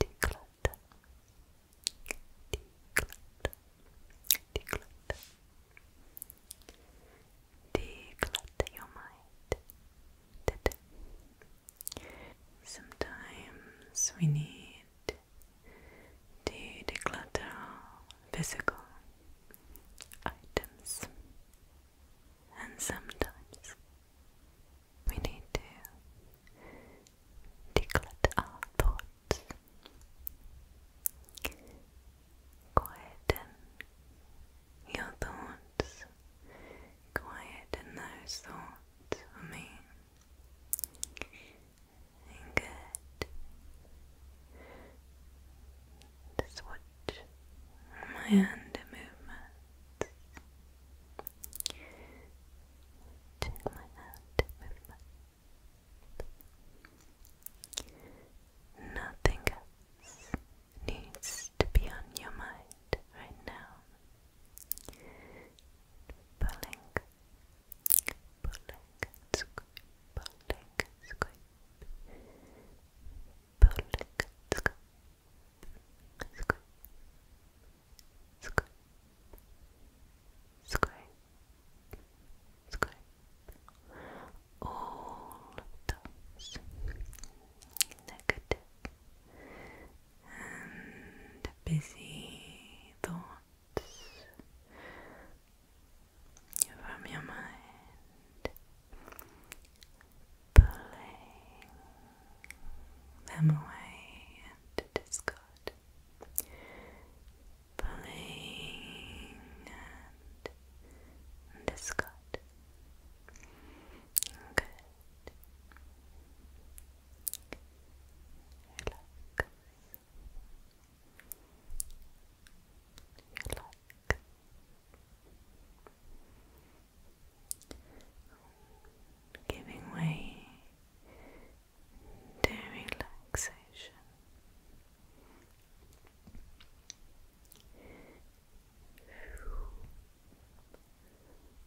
declutter, declutter, your mind Sometimes we need need to declutter physical items, and sometimes we need to declutter our thoughts, quieten your thoughts, quieten those thoughts for me. Good. Just watch my hand movements. Check my hand movement. Nothing needs to be on your mind right now pulling, pulling, scoop, pulling, scoop, pulling, scoop, scoop, scoop, scoop, all of those and busy thoughts from your mind, pulling them away and discard, pulling and discard. Good. Relax. Relax. Giving way to relaxation.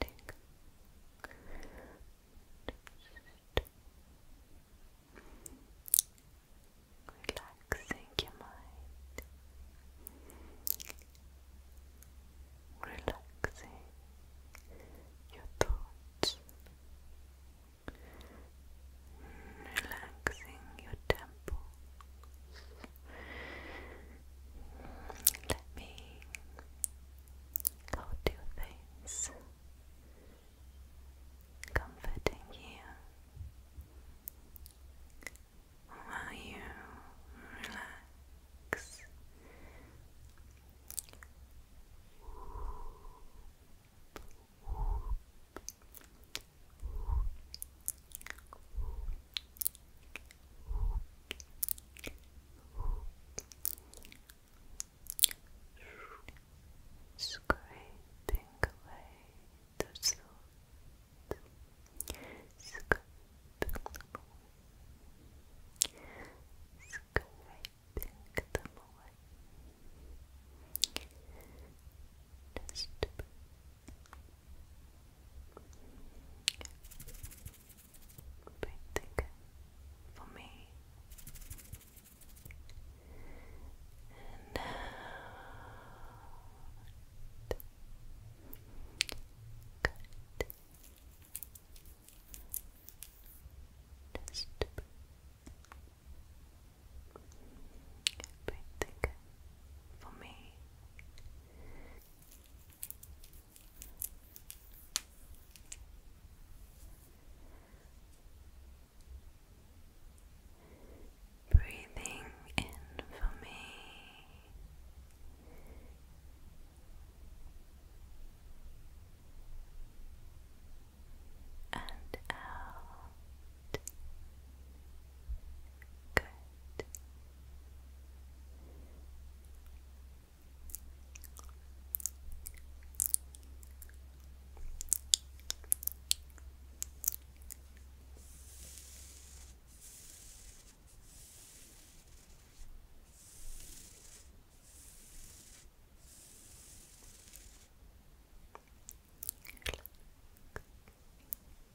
Think. Relaxing your mind, relaxing your thoughts, relaxing your temples, let me go do things comforting you while you relax. Scraping away the salt. Scraping away. Scraping them away painting for me and out uh, good just painting for me Breathing in for me. And out. Good. Relax.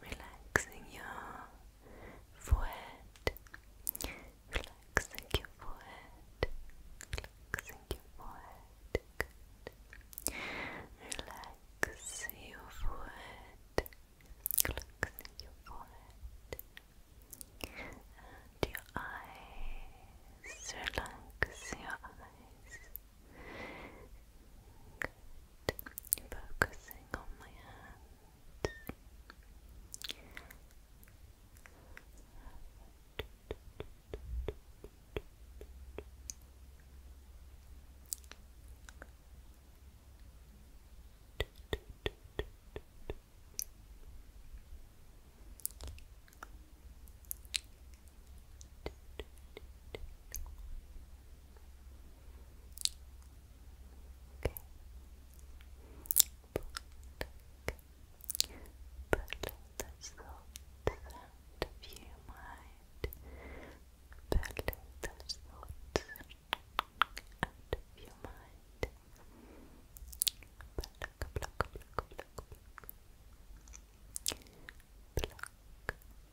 relaxing your forehead, relaxing your forehead, relaxing your forehead, good. your forehead, relaxing your eyes, relax your eyes. Good. Focusing on my hand that you might Put those mind. Pluck, pluck, pluck, pluck, pluck. Pluck, pluck,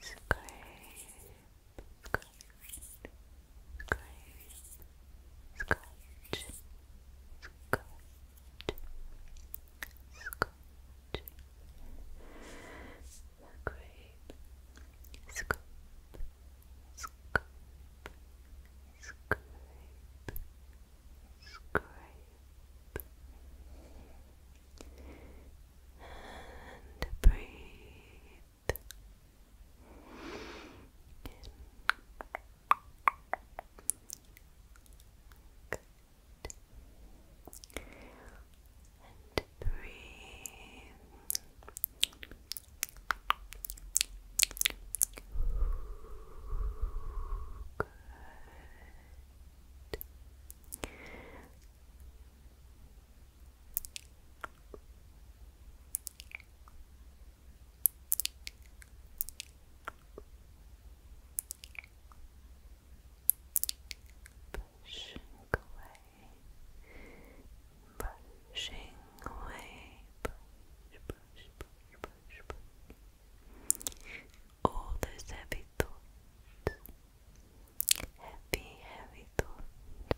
scrape, scrape, scratch, scratch, scratch, scrape, scoop, scoop, scrape, scrape, and breathe And breathe. Good. Pushing away, pushing away, push, push, All those heavy thoughts, heavy, heavy thoughts.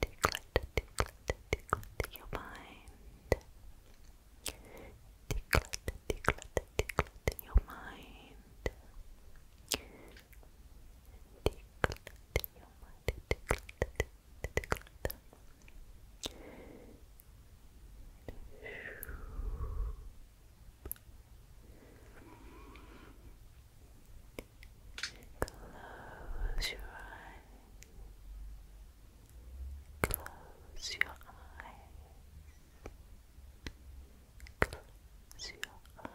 Tickle, tickle, tickle your mind. Tickle, tickle, tickle your mind. Tickle, your mind. Close your eye. Close your eyes. Close your eyes.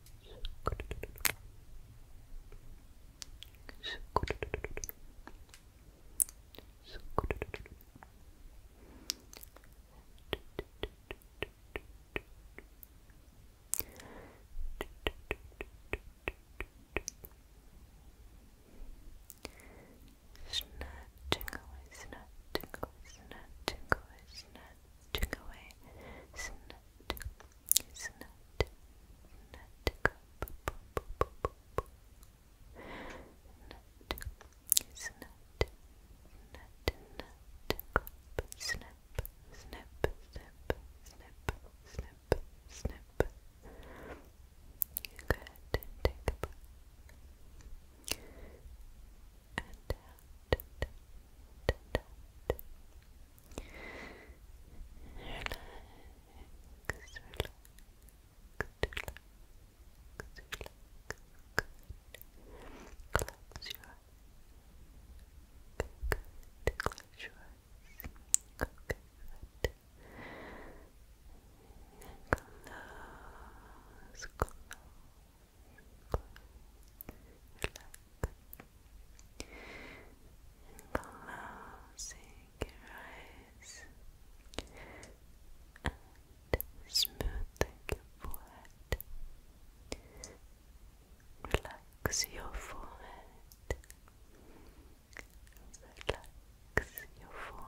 Snatching away, snatching away, snatching away, snatching took away snut, snut, snut cup, nut, snut, nut, nut cup, snip, snip, snip, snip, snip, snip. Good, take a breath and out close, close, and closing your eyes and smoothing your forehead. Relax your forehead. Relax your forehead. Relax your forehead.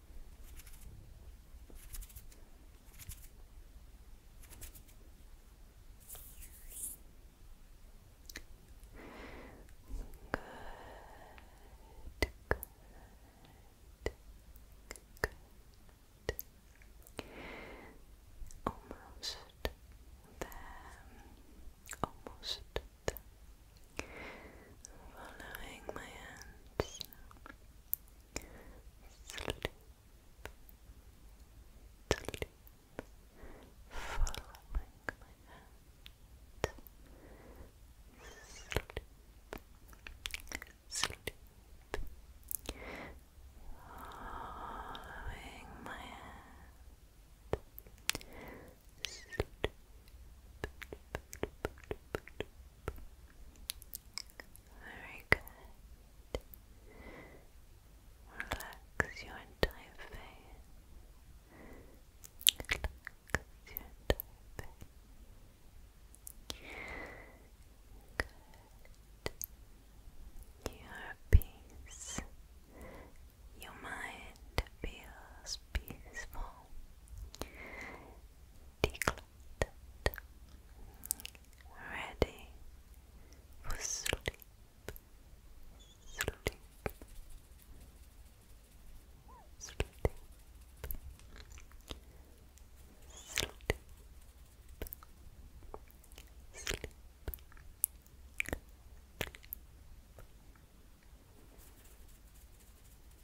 good. Almost there. Almost there. Following my hands sleep, sleep, following my hand, sleep, sleep, following my hand, sleep. Very good. Relax your entire face. Relax your entire face. Good. Your peace. Your mind feels peaceful. Declutter ready for sleep, sleep, sleep, sleep, sleep. Sleep.